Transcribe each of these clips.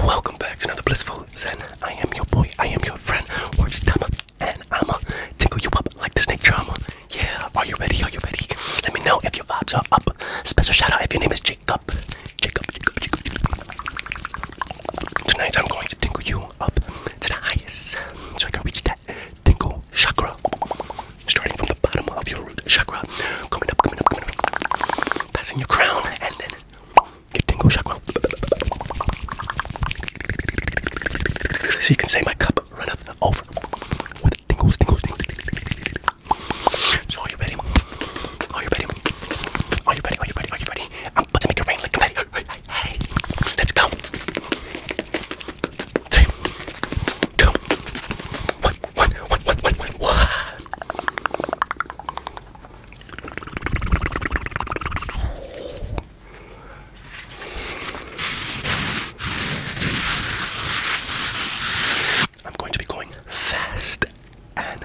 Welcome back to another blissful Zen. I am your boy, I am your friend, Orange Tama, and I'ma tickle you up like the snake charmer. Yeah, are you ready? Are you ready? Let me know if your vibes are up. Special shout out if your name is Jacob, Jacob, Jacob, Jacob. Tonight I'm going to tingle you up to the highest so I can reach that tingle chakra. Starting from the bottom of your root chakra, coming up, coming up, coming up, passing your crown, and then get tingle chakra. So you can say my cup runneth over with tingles, tingles, tingles. So are you ready? Are you ready? Are you ready? Are you ready? Are you ready? I'm about to make it rain like confetti. Hey, let's go. Three, two, one, one, one, one, one, one, one. I'm going to be going fast and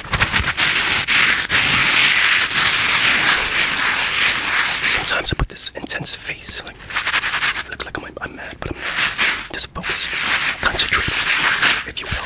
Sometimes I put this intense face, like look like I'm, mad, but I'm not. Just focus, concentrate, if you will.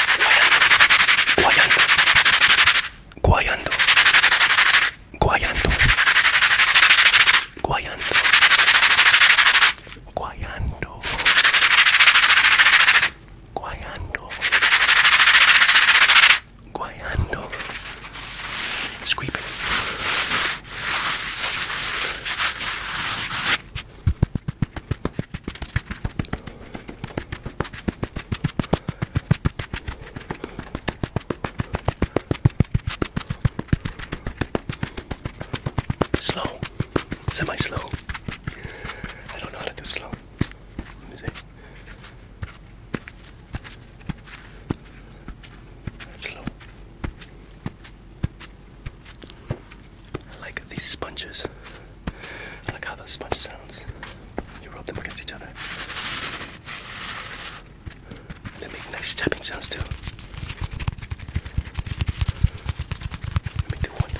guayando, guayando, guayando, guayando, guayando, guayando, guayando, squeeping. Slow, semi slow. I don't know how to do slow. Let me see. That's slow. I like these sponges. Look how the sponge sounds. You rub them against each other. They make nice tapping sounds too. Let me do one here,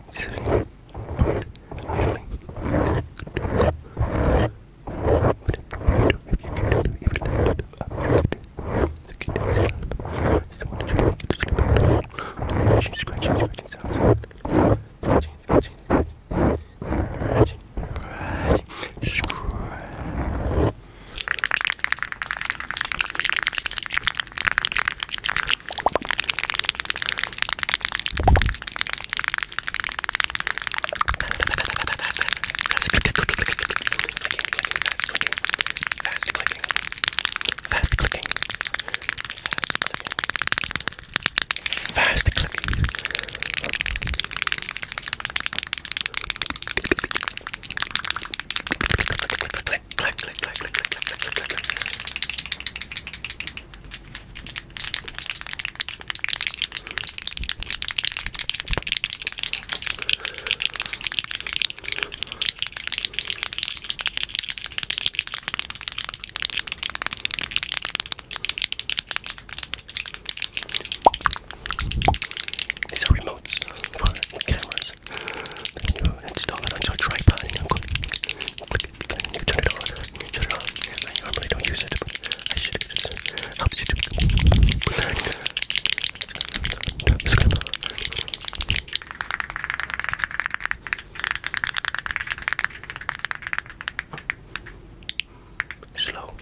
silly, silly. If you can do even that, I the kid does She's scratching, scratching sounds. Scratching, scratching, scratching, scratching, scratching. Fast clicking. Fast clicking. Fast clicking. Fast clicking. These are remotes for cameras. Then you install it on your tripod and you click it, then you turn it on, you turn it on. I normally don't use it, but I should it just helps you to Slow.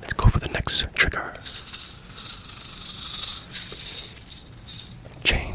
Let's go for the next trigger. Chain. Chain.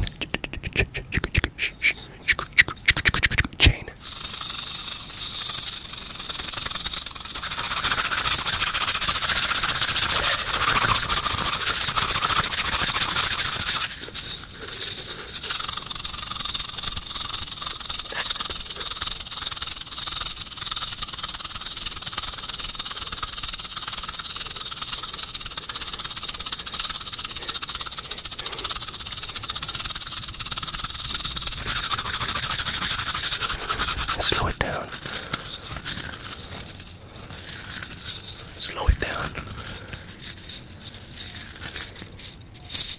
Slow it down. Slow it down.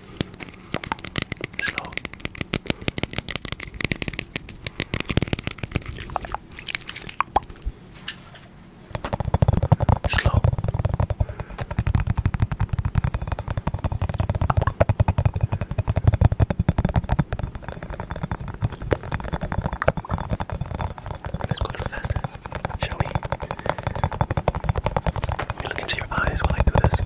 Slow. Slow. Let's go a little faster, shall we? Let me look into your eyes while I do this.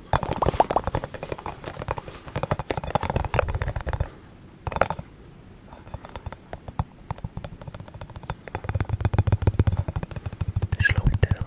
Slow it down.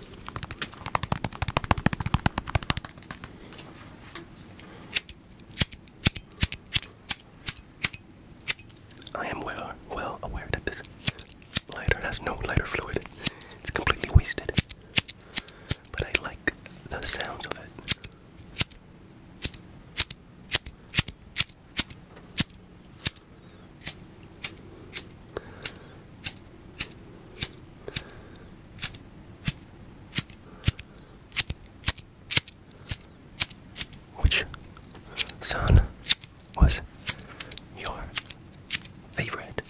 I am well, well aware that this lighter has no lighter fluid. It's completely wasted. But I like the sound of it. Which son was your favorite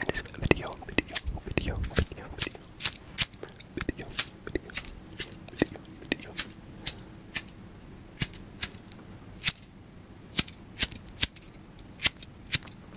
in this video,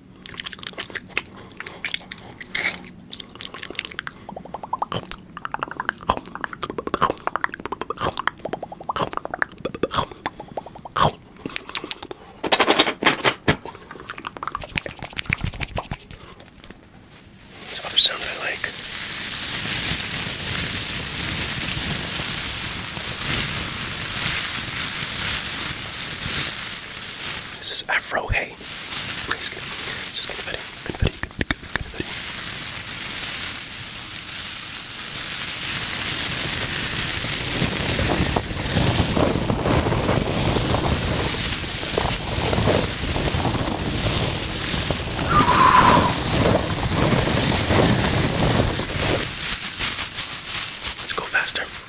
It's other sound I like. This is Afro Hey, please get, just get ready, get ready, get, get, get ready. Let's go faster.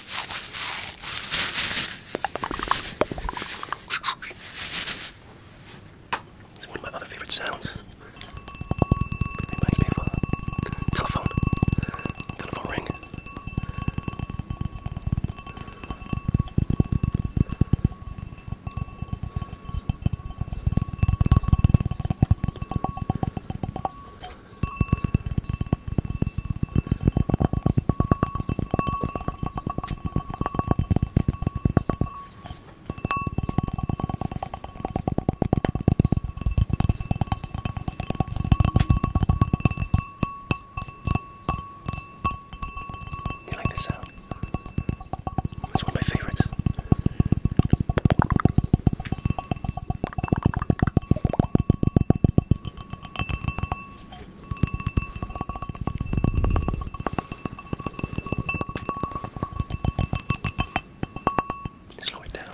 It's one of my other favorite sounds. It reminds me of a telephone, telephone ring. You like this sound? Uh, it's one of my favorites. Slow it down.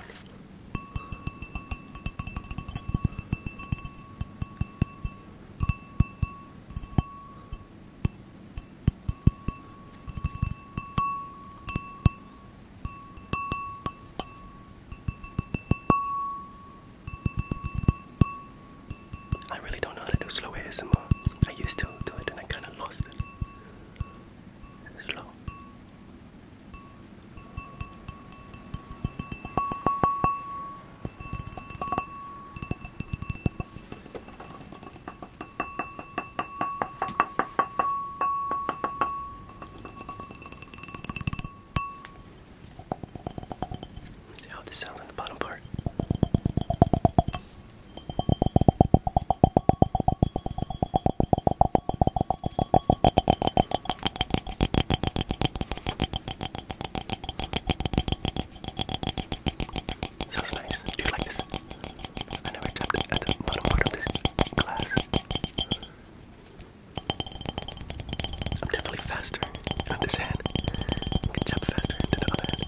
I really don't know how to do slow ASMR. I used to do it and I kind of lost it. Slow. See how this sounds in the bottom part. Sounds nice. Do you like this? I never tapped at the bottom part of this glass. I'm definitely faster with this hand. I jump faster than the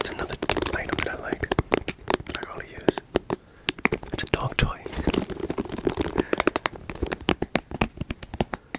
It's another item that I like. I really use. It's a dog toy.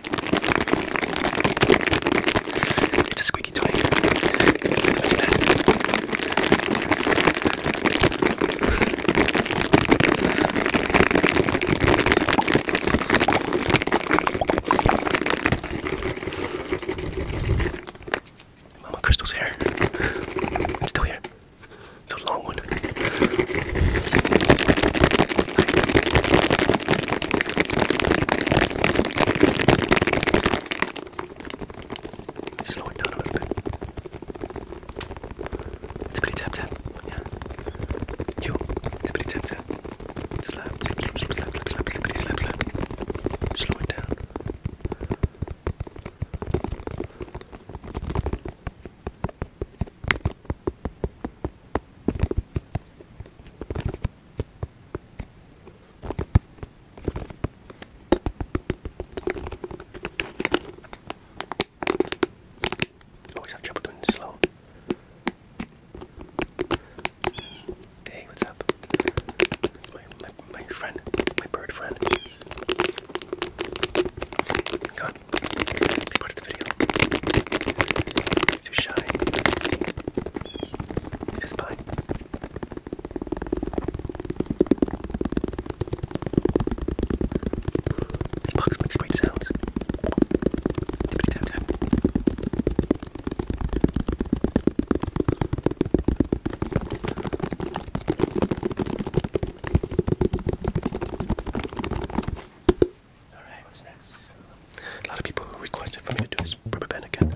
It's a squeaky toy. Mama Crystal's hair. It's still here. So long long one. Slow it down a little bit. It's pretty tap tap. Yeah. You. It's pretty tap tap. Slap, slap, slap, slap, slap, slap, slap, slap, slap. Slow it down. Always oh, have trouble doing this slow. Hey, what's up? my, my, my friend, my bird friend. Come on part of the video. He's too shy. It's fine. This box makes great sounds. Tippity tap tap. Alright, what's next? A lot of people requested for me to do this rubber band again.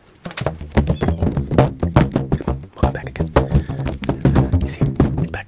Welcome back again. He's here. He's back.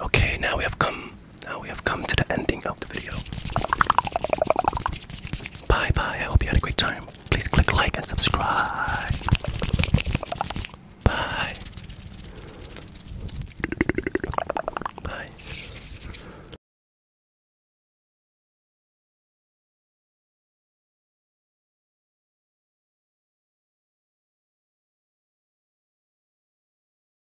Okay, now we have come. Now we have come to the ending of the video. Bye bye. I hope you had a great time. Please click like and subscribe. Bye. Bye.